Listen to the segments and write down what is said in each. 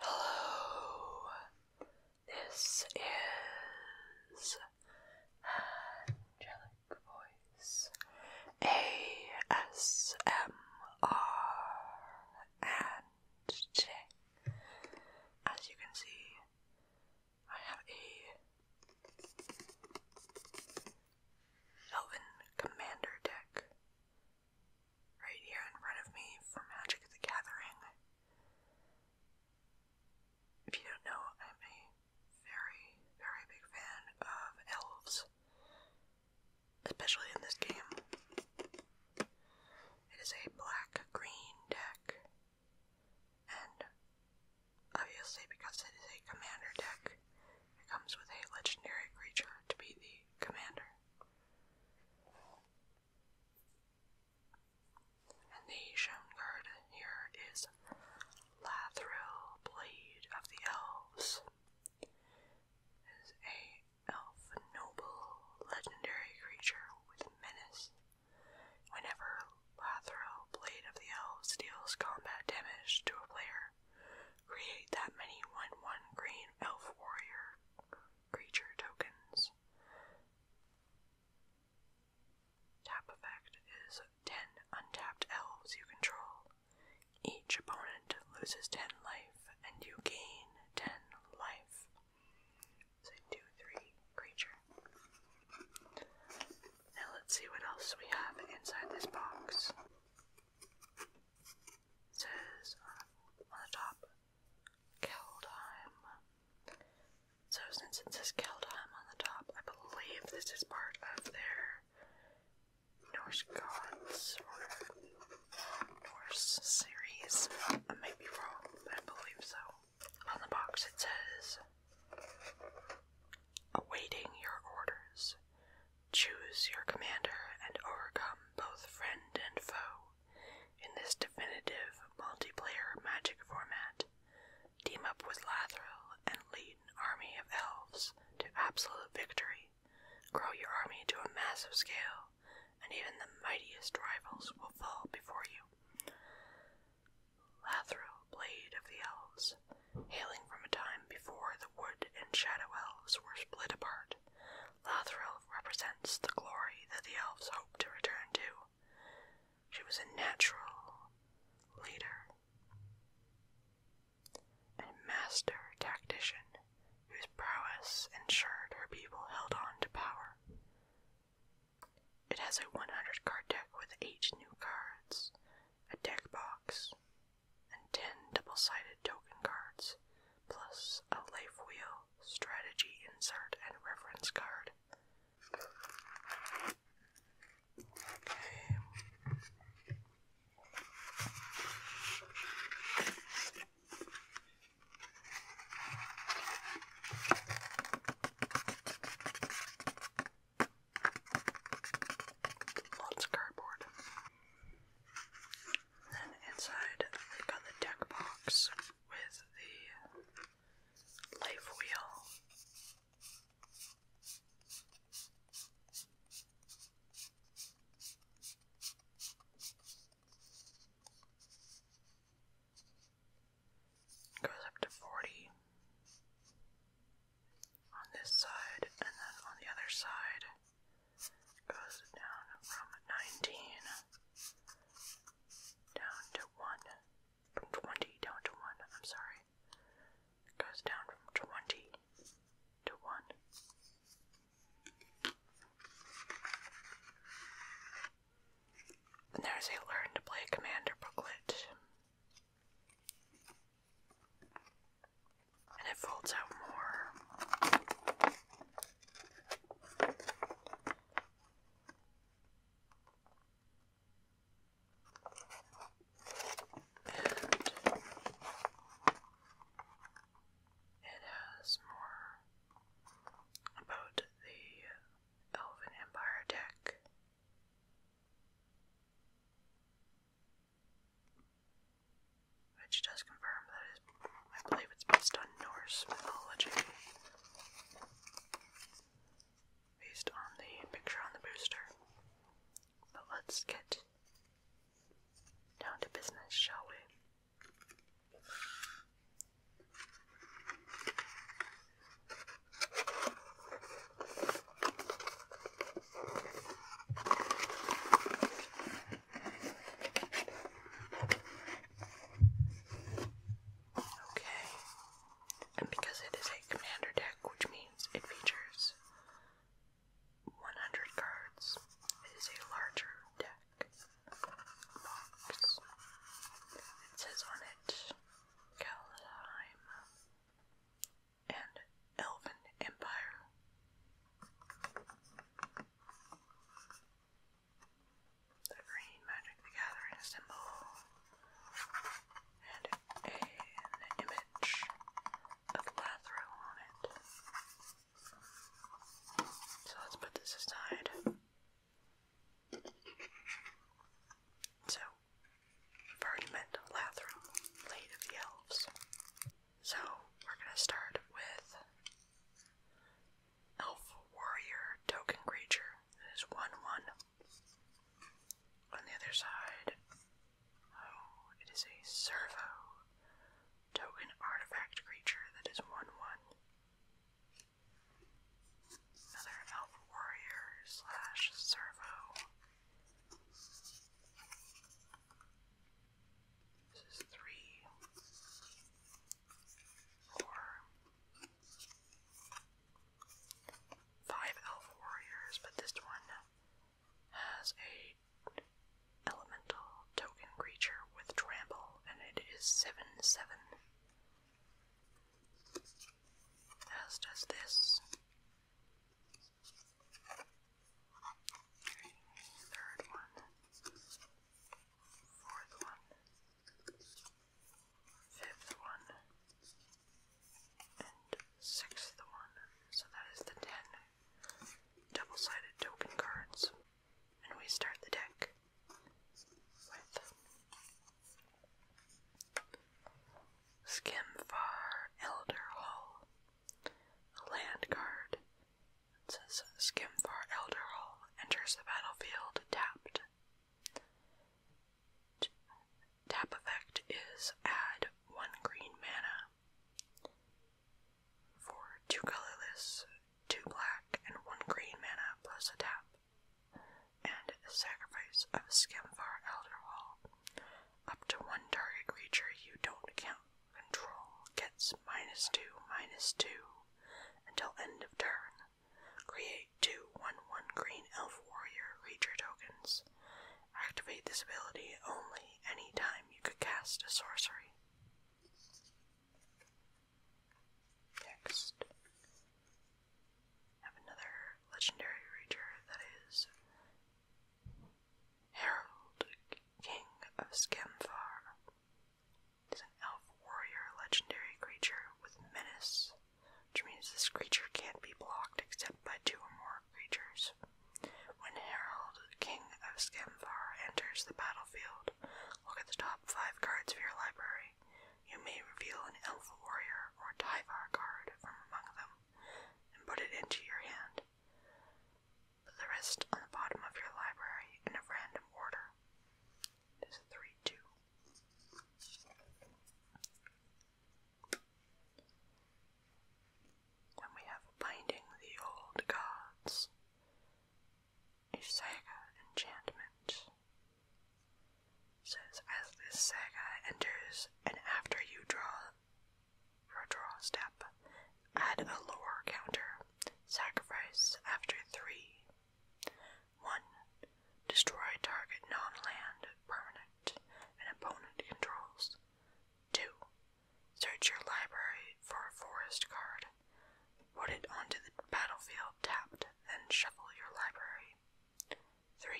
Hello, this is Angelica voice ASMR and J. as you can see I have a Elven Commander deck right here in front of me for Magic the Gathering. If you don't know, I'm a very, very big fan of elves, especially in this game. It is a black green deck, and obviously, because it is a commander deck, it comes with a legendary creature to be the commander. And the shown card here is Lathril Blade of the Elves is a elf noble legendary creature with menace. Whenever Lathril Blade of the Elves deals combat damage to a player, create that many 1-1 green elf warrior creature tokens. Tap effect is 10 untapped elves you control. Each opponent loses 10 life, and you gain 10 life. 2 3 creature. Now, let's see what else we have inside this box. says uh, on the top, Keldheim. So, since it says Keldheim on the top, I believe this is part of their Norse gods or Norse series. I may be wrong, but I believe so. On the box it says, Awaiting your orders. Choose your commander and overcome both friend and foe. In this definitive multiplayer magic format, team up with Lathril and lead an army of elves to absolute victory. Grow your army to a massive scale, and even the mightiest rivals will fall before you. Lathro, Blade of the Elves, hailing from a time before the Wood and Shadow Elves were split apart, Lathril represents the glory that the elves hope to return to. She was a natural leader and master tactician whose prowess ensured her people held on to power. It has a 100 card deck with 8 new cards, a deck box, and 10 double sided token cards, plus a life wheel, strategy insert, and reference card. Lots of cardboard. Then inside they got the deck box with the life wheel Goes up to 40 on this side, and then on the other side goes down from 19 down to 1. From 20 down to 1, I'm sorry goes down from 20 to 1. And there is a learn to play commander booklet. And it folds out more it has more about the Elven Empire deck. Which does confirm that I believe it's based on Norse mythology. Based on the picture on the booster. But let's get down to business, shall we? Okay, and because it is a commander deck, which means it features 100 cards, it is a larger deck box. It says on it Kaldheim and Elven Empire. The green Magic the Gathering symbol. And an image of Lathro on it. So let's put this aside. So, I've already of the elves. So, we're gonna start with Elf Warrior Token Creature. It is 1 1 on the other side, oh, it is a servo token artifact creature that is 1 1. Another elf warrior slash servo. This is three, four, five elf warriors, but this one has a elemental token creature with trample, and it is seven seven. As does this. third one, fourth one, fifth one, and sixth one. So that is the ten double-sided token cards. And we start the deck with Skimfar Elder Hall. A land card that says Skimfar Elder Hall enters the battlefield tapped tap effect is add one green mana for two colorless, two black, and one green mana plus a tap, and a sacrifice Elder Skimfar Up to one target creature you don't count control gets minus two, minus two until end of turn. Create two one one green elf warrior creature tokens Activate this ability only any time you could cast a sorcery. Next, have another legendary creature that is Harold, King of Scamfar. He's an elf warrior legendary creature with menace which means this creature can't be blocked except by two or more creatures. When Herald King of Scamvar, enters the battlefield, look at the top five cards of your library. You may reveal an Elf Warrior or Tyvar card from among them and put it into your hand. Put the rest on the bottom of your library in a random order. 3 2. Then we have Binding the Old Gods, a saga enchantment. says as this saga enters, and after you draw your draw step, add a lower counter. Sacrifice after three. One. Destroy target non-land permanent an opponent controls. 2. Search your library for a forest card. Put it onto the battlefield tapped, then shuffle your library. 3.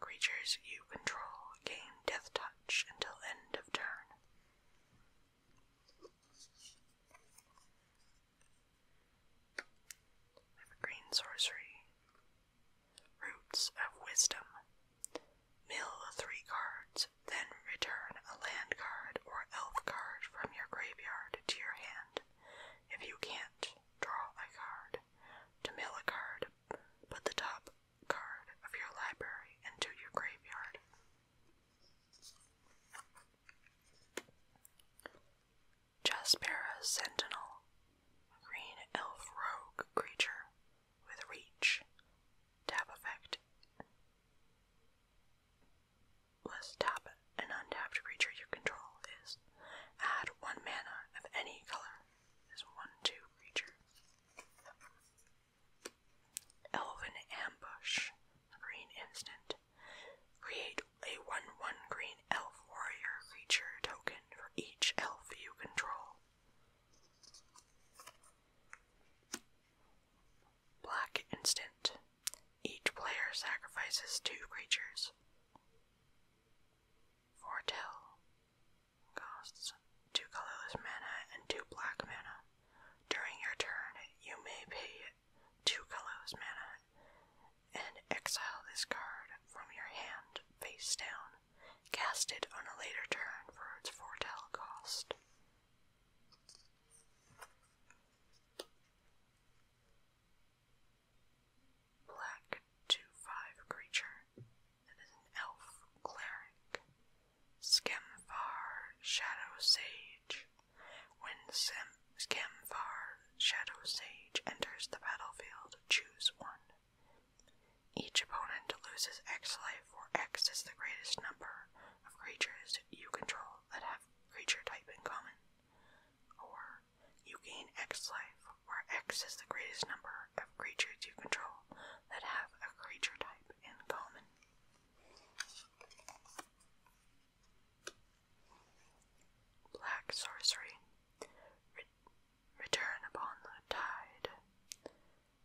Creatures you control gain death touch until end of turn. I sorcery Roots of Wisdom. Mill three cards, then return a land card or elf card from your graveyard to your hand. If you can't, draw a card. To mill a card, put the top card of your library into your graveyard. Jaspera Sentinel, green elf rogue creature with reach, tap effect. let tap an untapped creature you control is add one mana of any color as one two creature. Elven Ambush, green instant. Create a 1 1 green elf warrior creature token for each elf you control. Black Instant. Each player sacrifices two creatures. Foretell costs two colorless mana and two black mana. During your turn, you may pay two colorless mana and exile this card from your hand face down. Cast it on a later turn for its foretell cost. Black 2 5 creature that is an elf cleric. Skemfar Shadow Sage. When Skemfar Shadow Sage enters the battlefield, choose one. Each opponent loses X life, where X is the greatest number of creatures you control that have creature type in common. Or, you gain X life, where X is the greatest number of creatures you control that have a creature type in common. Black Sorcery. Return upon the tide.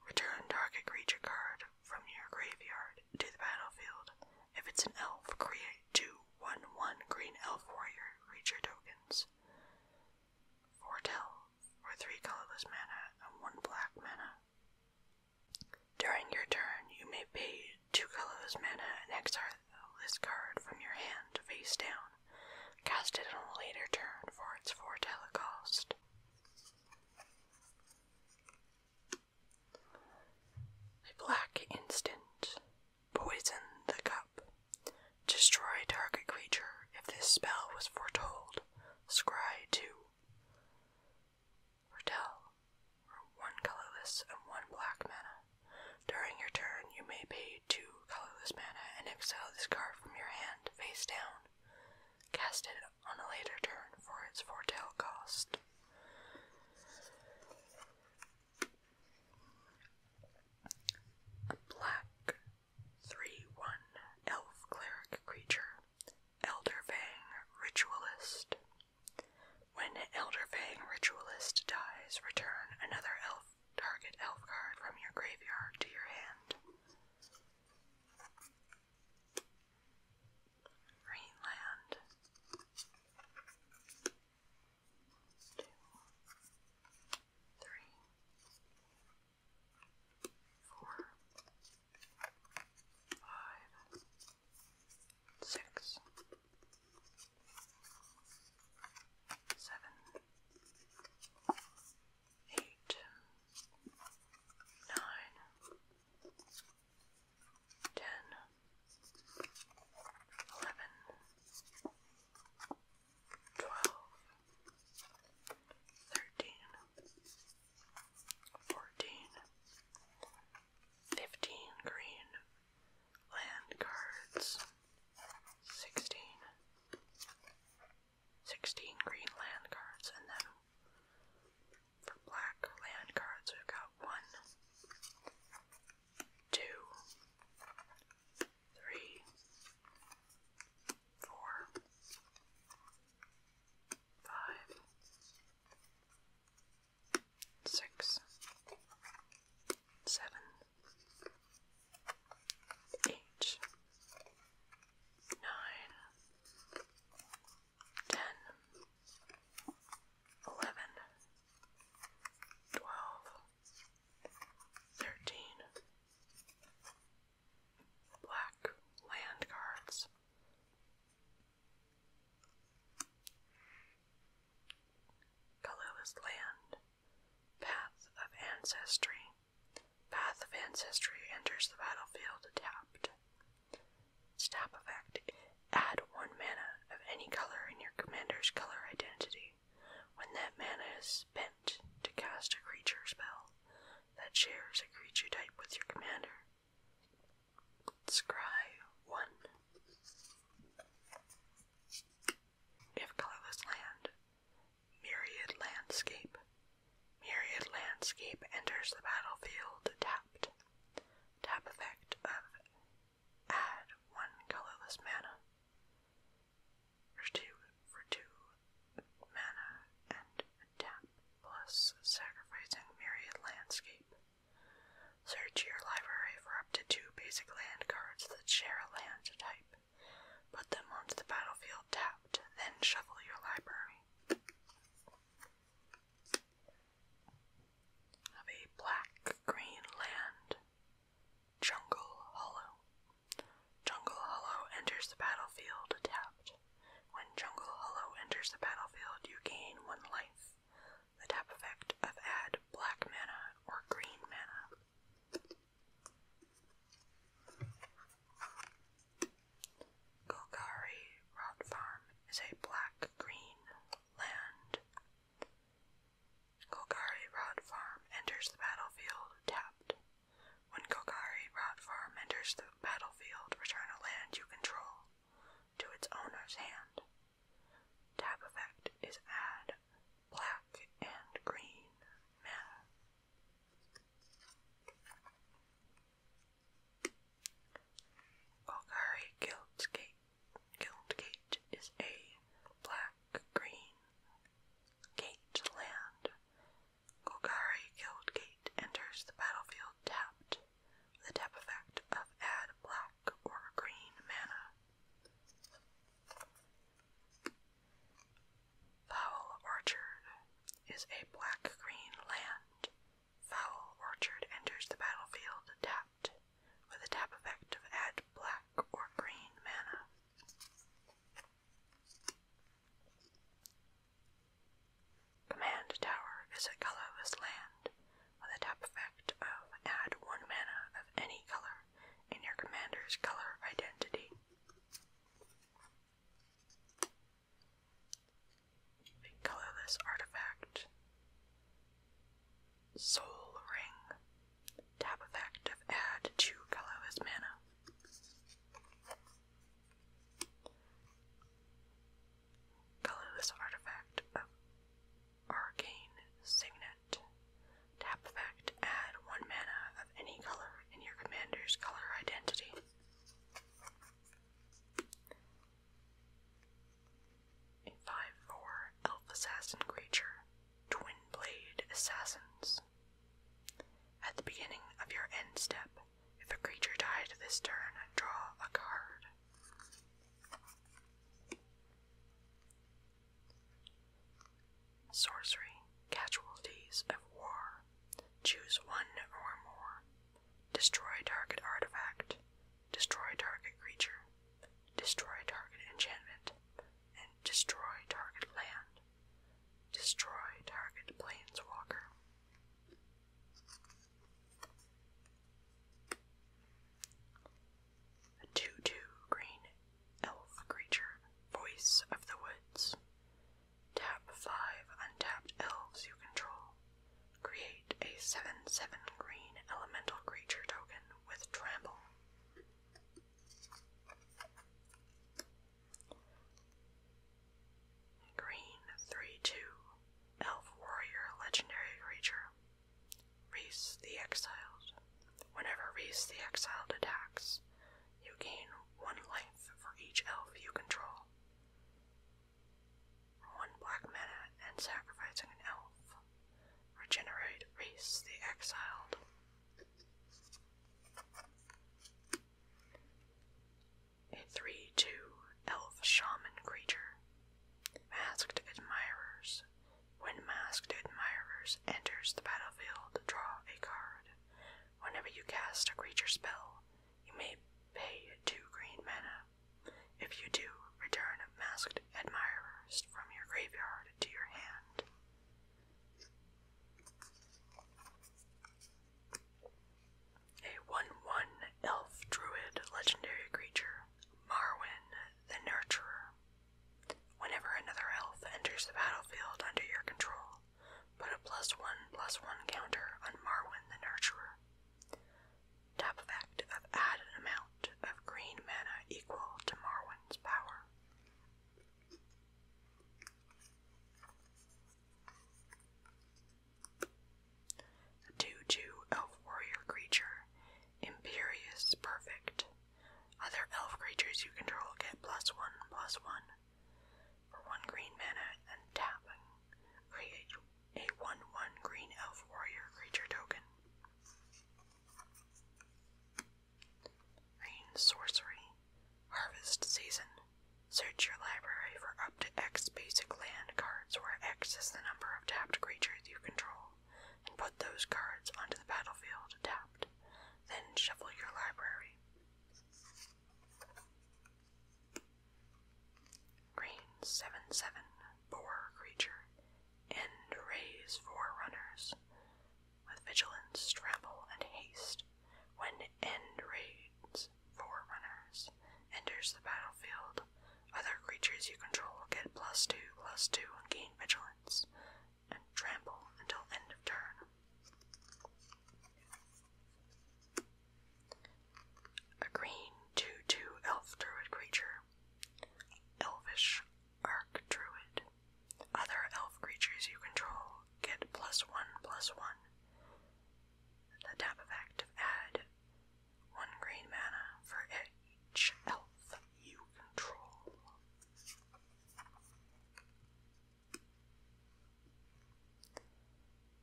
Return target creature card from your graveyard to the battlefield. If it's an elf, create two one-one green elf warrior creature tokens. Foretell for 3 colorless mana and 1 black mana. During your turn, you may pay 2 colorless mana and exile this card from your hand face down cast it on a later turn for its foretell cost. A black instant. Poison the cup. Destroy a target creature if this spell was foretold. Scry 2. Fortell. For one colorless and one black mana. During your turn, you may pay two colorless mana and exile this card from your hand face down. Cast it on a later turn for its foretell cost. black 3 1 elf cleric creature, Elderfang Ritualist. When Elderfang Ritualist dies, return another elf Target elf card from your graveyard to your hand. Greenland. Two, three, four, five, six, seven, eight, nine, ten, eleven, twelve, thirteen, fourteen, fifteen green. Land cards. Sixteen. Sixteen green land cards, and then for black land cards we've got one, two, three, four, five, six, seven, eight, nine, ten, eleven, twelve, thirteen. Black land cards colorless land, path of ancestry. Path of ancestry enters the battlefield tapped. Stop effect. Add one mana of any color in your commander's color identity. When that mana is spent to cast a creature spell that shares a creature type with your commander. Scry 1. If colorless land, myriad landscape, myriad landscape enters the battlefield tapped. Tap effect of add one colorless mana for two for two mana and tap plus sacrificing myriad landscape. Search your library for to two basic land cards that share a land type. Put them onto the battlefield tapped, then shuffle your library. Have a black green land, Jungle Hollow. Jungle Hollow enters the battlefield tapped. When Jungle Hollow enters the battlefield, you gain one life the tap effect of add black mana or green mana. Golgari Rod Farm is a black green land. Golgari Rod Farm enters the battlefield tapped. When Golgari Rod Farm enters the battlefield, return a land you control to its owner's hand. Tap effect is add black and green Golgari Guildgate, Guildgate is a black-green gate land. Golgari Guildgate enters the battlefield tapped the tap effect of add black or green mana. Foul Orchard is a black-green land. Foul Orchard enters the battlefield tapped, with a tap effect of add black or green mana. Command Tower is a colorless land, with a tap effect of add one mana of any color in your commander's color identity. colorless artifact. Soul Ring. Tap effect of add two colorless mana. Colorless artifact of Arcane Signet. Tap effect, add one mana of any color in your commander's color identity. 5-4 Elf Assassin creature, Twin Blade Assassins. At the beginning of your end step, if a creature died this turn, draw a card. Sorcery, casualties of war. Choose one or more. Destroy target artifact. Destroy target creature. Destroy target enchantment. And destroy target land. Destroy target planeswalker. 2-2 green elf creature, voice of the woods. Tap 5 untapped elves you control. Create a 7-7 green elemental creature token with trample. Green 3-2 elf warrior legendary creature. Reese the Exiled. Whenever Reese the Exiled attacks, you gain one life for each elf you control. One black mana and sacrificing an elf. Regenerate Reese the Exiled. A 3 2 elf shaman creature. Masked Admirers. When masked admirers enters the battlefield, draw a card. Whenever you cast a creature spell, you may pay two green mana. If you do, return masked admirers from your graveyard to your hand. A 1 1 elf druid legendary creature, Marwyn the Nurturer. Whenever another elf enters the battlefield under your control, put a plus one plus one counter on Marwin the Nurturer. Tap effect add an amount of green mana equal to Marwin's power. A 2 2 elf warrior creature Imperious Perfect. Other elf creatures you control get plus one, plus one. For one green mana and tapping, create a 1 1 green elf warrior creature token. Rain Sorcery. Harvest Season. Search your library for up to X basic land cards, where X is the number of tapped creatures you control and put those cards onto the battlefield tapped, then shuffle your library. Green 7 7 boar creature and raise four with vigilance, scramble, and haste. When end raids four enters the battlefield, other creatures you control will get plus two, plus two, and gain vigilance, and trample until end of turn. A green 2 2 elf druid creature. Elvish Arc Druid. Other elf creatures you control get plus one plus one. The tap effect add one green mana for each elf you control.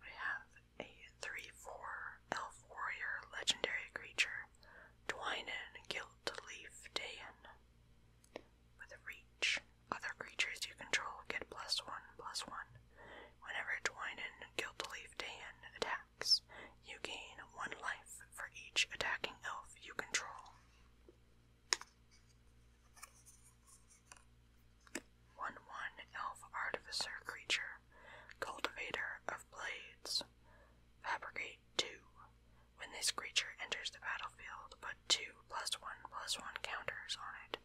We have a 3 4 elf warrior legendary creature, Dwinen Gilt Leaf With reach, other creatures you control get plus 1 plus 1 whenever Dwinen Gilt Leaf attacks. You gain one life for each attacking elf you control. One one elf artificer creature, cultivator of blades. Fabricate two. When this creature enters the battlefield, put two plus one plus one counters on it,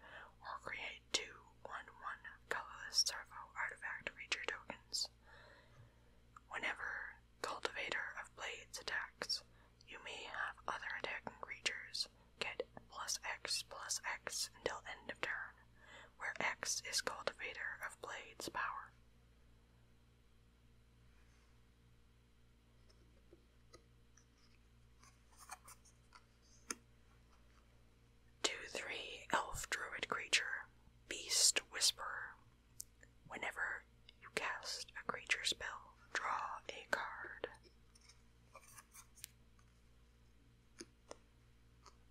or create two one one colorless servo artifact creature tokens. Whenever Cultivator of Blades attacks, you may have other attacking creatures get plus X plus X until end of turn, where X is Cultivator of Blades power. Two three elf druid creature, Beast Whisperer. Whenever you cast a creature spell, draw a card.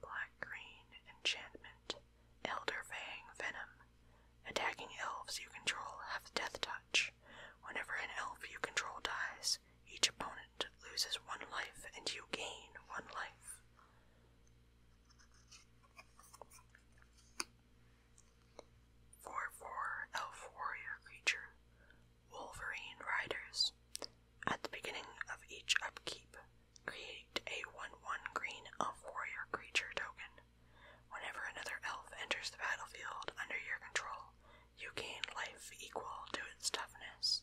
Black Green Enchantment Elder Fang Venom. Attacking elves you control have Death Touch. Whenever an elf you control dies, each opponent loses one life and you gain one life. Four four elf oh, warrior creature, Wolverine Riders. At the beginning of each upkeep, create a 1 1 green elf warrior creature token. Whenever another elf enters the battlefield under your control, you gain life equal to its toughness.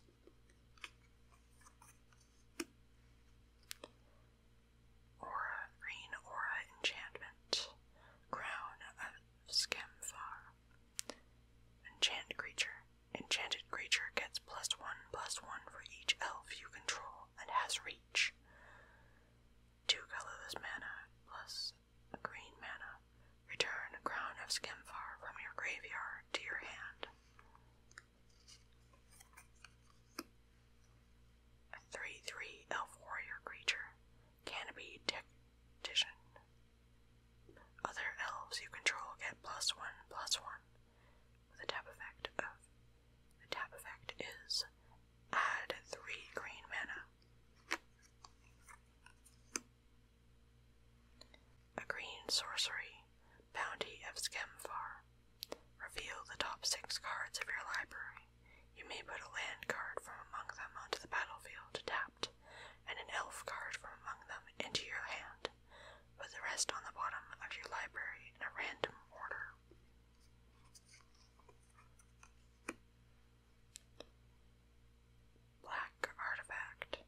Aura, Green Aura Enchantment, Crown of Skemphar. Enchant creature. Enchanted creature gets plus one plus one for each elf you control and has reach. Two colorless mana plus a green mana. Return Crown of Skemphar from your graveyard to your hand. A 3 3 elf warrior creature. Canopy Tactician. Other elves you control get plus 1 plus 1 with a tap effect of. The tap effect is add 3 green mana. A green sorcery. Bounty of Skemfar. Reveal the top six cards of your library. You may put a land card from among them onto the battlefield, tapped, and an elf card from among them into your hand. Put the rest on the bottom of your library in a random order. Black Artifact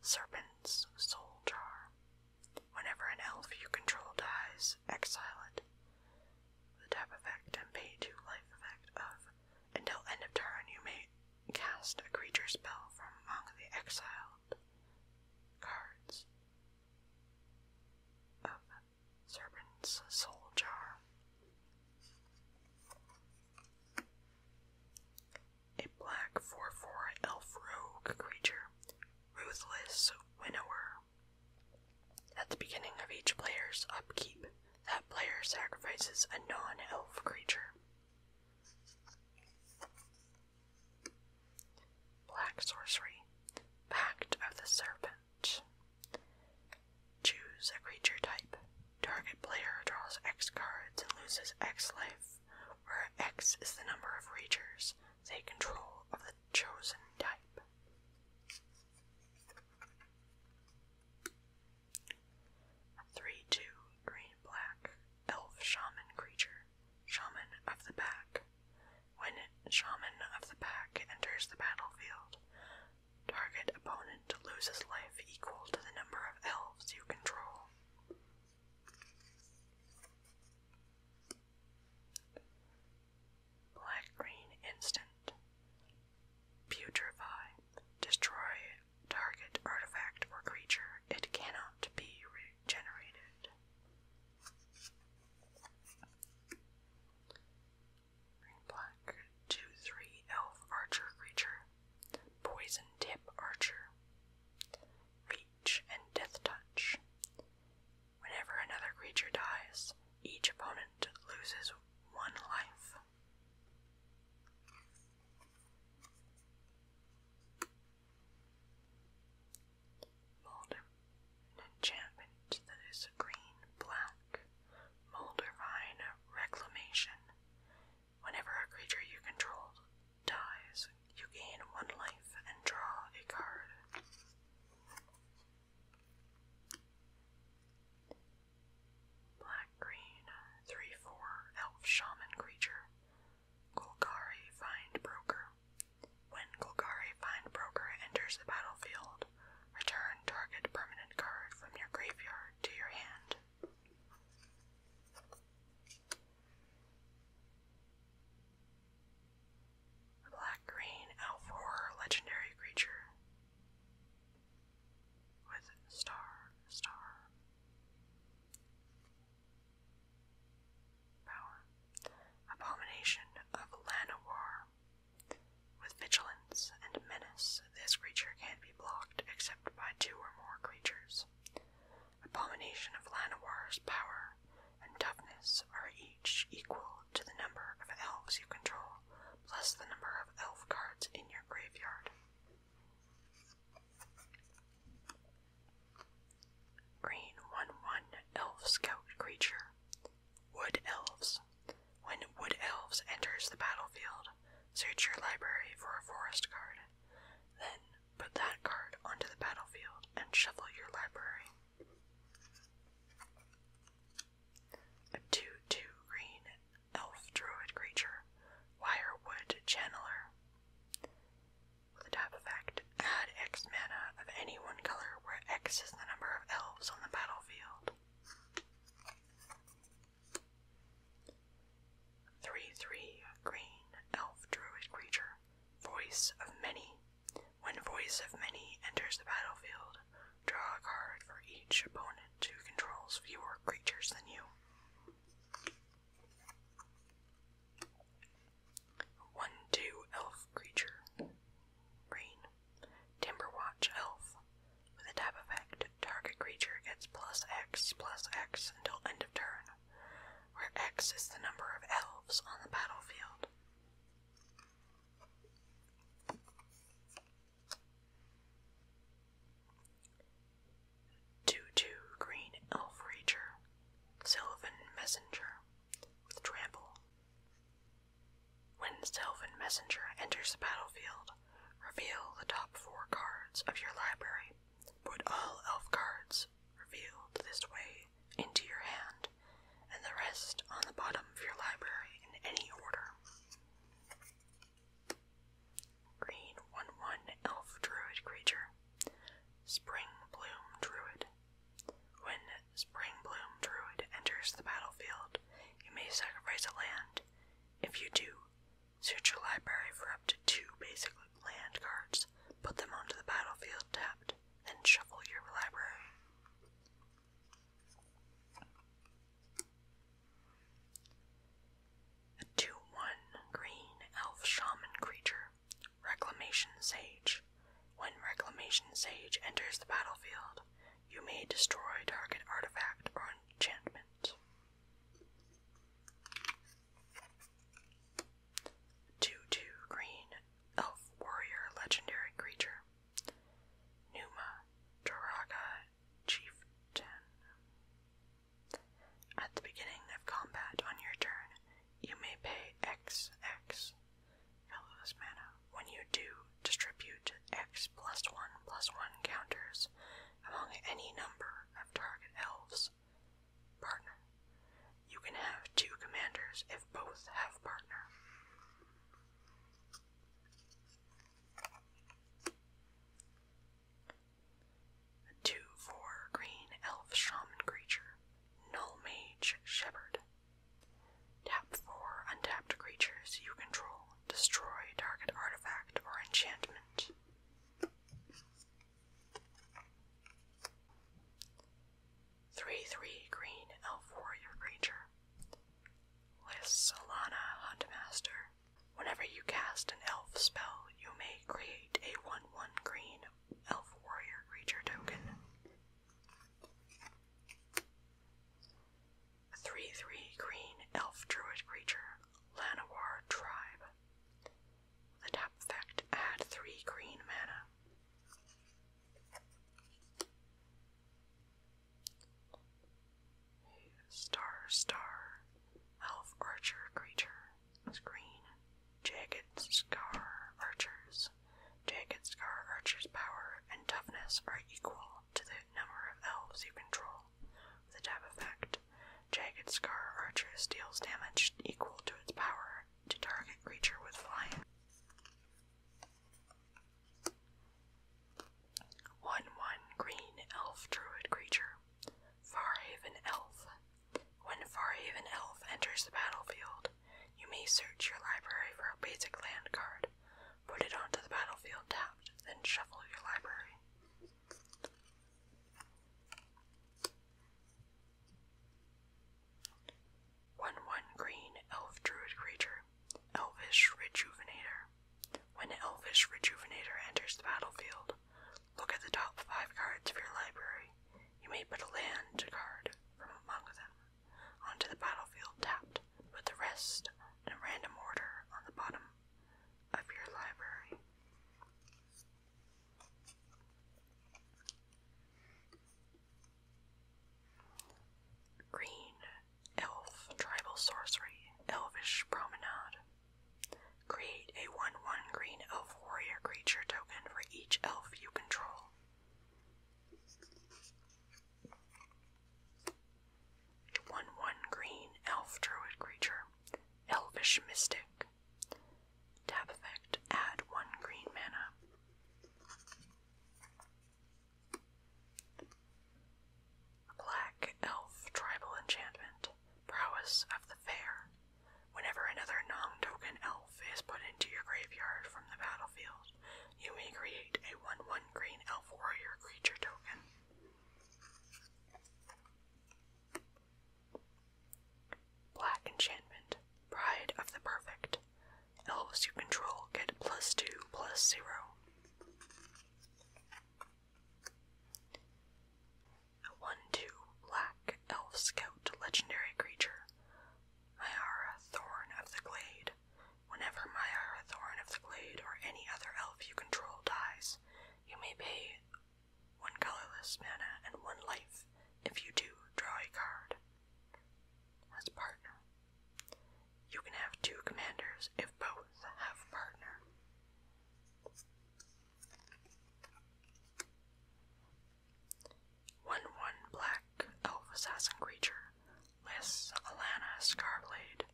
Serpent's Soul Jar. Whenever an elf you control dies, exile it. The tap effect and pay two life effect of until end of turn you may cast a creature spell from among the exiled cards of Serpent's Soul Jar. A black 4 4 elf rogue creature ruthless winnower. At the beginning of each player's upkeep, that player sacrifices a non elf creature. Black Sorcery Pact of the Serpent. Choose a creature type. Target player draws X cards and loses X life where X is the number of Ragers they control of the chosen type. 3 2 green black elf shaman creature, shaman of the pack. When shaman of the pack enters the battlefield, target opponent loses life equal to the number of elves you control. Black green instant. Putrefy. Destroy target artifact or creature. It cannot be regenerated. Green black. 2 3 elf archer creature. Poison tip archer and Death Touch. Whenever another creature dies, each opponent loses one life. Molder, enchantment that is green black. Moldervine Reclamation. Whenever a creature you control dies, you gain one life and draw a card. Black green, 3 4 elf shaman creature. Golgari Find Broker. When Golgari Find Broker enters the battlefield, return target permanent card from your graveyard to your hand. Black green Alfor legendary creature with star, star power. Abomination of Llanowar. With vigilance and menace, this creature can not be blocked except by two or more creatures. Abomination of Lanawar's power and toughness are each equal to the number of elves you control, plus the number of elf cards in your graveyard. Green 1 1 Elf Scout Creature Wood Elves. When Wood Elves enters the battlefield, search your library for a forest card. Then, Put that card onto the battlefield and shuffle your library. A 2 2 green elf druid creature, Wirewood Channeler. With a tap effect, add X mana of any one color where X is the number of elves on the battlefield. 3 3 green elf druid creature, Voice of Many. When Voice of Many enters the battlefield, draw a card for each opponent who controls fewer creatures than you. One two elf creature. Rain. Timberwatch elf. With a tap effect, target creature gets X X until end of turn where X is the number of elves on the battlefield. Two two green elf ranger, Sylvan Messenger with trample. When Sylvan Messenger enters the battlefield, reveal the top four cards of your library. Put all elf cards revealed this way, into your hand, and the rest on the bottom of your library in any order. Green 1 1 Elf Druid Creature. Spring Bloom Druid. When Spring Bloom Druid enters the battlefield, you may sacrifice a land. If you do, search your library for up to two basically land cards, put them onto the battlefield tapped, then shuffle your library. A 2 1 green elf shaman creature, Reclamation Sage. When Reclamation Sage enters the battlefield, you may destroy target artifact or enchantment. 2 2 green elf warrior legendary creature. Numa Duraga Chieftain. At the beginning of combat on your turn, you may pay X X colorless mana. When you do, distribute X plus one plus one counters among any number of target elves Partner. You can have two commanders if both have partner. 2 4 green elf shaman creature. Null mage shepherd. Tap 4 untapped creatures you control. Destroy target artifact or enchantment. Three three green elf warrior creature. Lists Solana Huntmaster. Whenever you cast an elf spell, you may create a one one green elf warrior creature token. A three three green elf druid creature, Lanawar Tribe. The tap effect add three green mana. Star, star, elf archer creature is green. Jagged scar archers. Jagged scar archers' power and toughness are equal to the number of elves you control. the tap effect, Jagged Scar Archer deals damage equal to its power to target creature with flying. 1 1 Green Elf Druid Creature. Farhaven Elf. When Farhaven Elf enters the battlefield, you may search your library for a basic land card, put it onto the battlefield tapped, then shuffle your library. One one green elf druid creature. Elvish Rejuvenator. When Elvish Rejuvenator enters the battlefield, look at the top five cards of your library. You may put a land card from among them onto the battlefield tapped, with the rest in a random order on the bottom of your library. Green Elf Tribal Sorcery Elvish Promenade. Create a 1 1 green elf warrior creature token for each elf you control. 1 1 green elf druid creature. Elvish Mystic. Tap effect, add one green mana. Black Elf Tribal Enchantment, Prowess of the Fair. Whenever another non token elf is put into your graveyard from the battlefield, you may create a 1 1 green elf warrior creature token. Black Enchantment, Pride of the Perfect. Elves you control get plus 2 plus 0. 1 2 Black Elf Scout Legendary Creature. Myara Thorn of the Glade. Whenever Myara Thorn of the Glade or any other elf you control dies, you may pay one colorless mana, and one life. If you do, draw a card. As partner. You can have two commanders if both have partner. One one black elf assassin creature. Lists Alana Scarblade.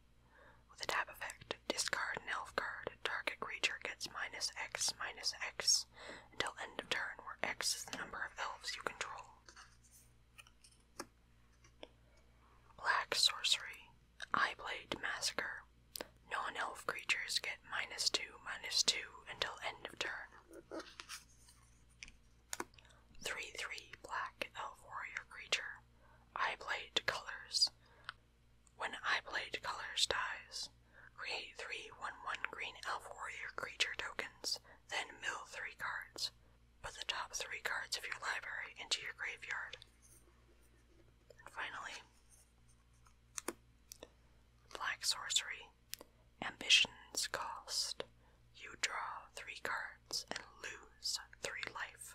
With a tap effect, discard an elf card. Target creature gets minus X minus X until end of turn, where X is the number of elves you control. Black sorcery. Eye Blade Massacre. Non elf creatures get minus 2, minus 2 until end of turn. 3 3 Black Elf Warrior Creature. Eye Blade Colors. When I play Colors dies, create three one-one green elf warrior creature tokens, then mill three cards. Put the top three cards of your library into your graveyard. finally, Black Sorcery Ambition's Cost. You draw three cards and lose three life.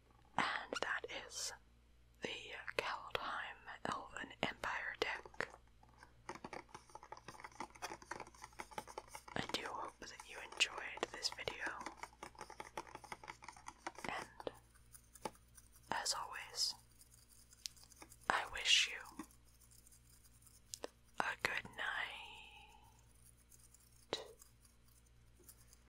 and that is the Kaldheim Elven Empire deck. I do hope that you enjoyed this video, and as always, I wish you a good night.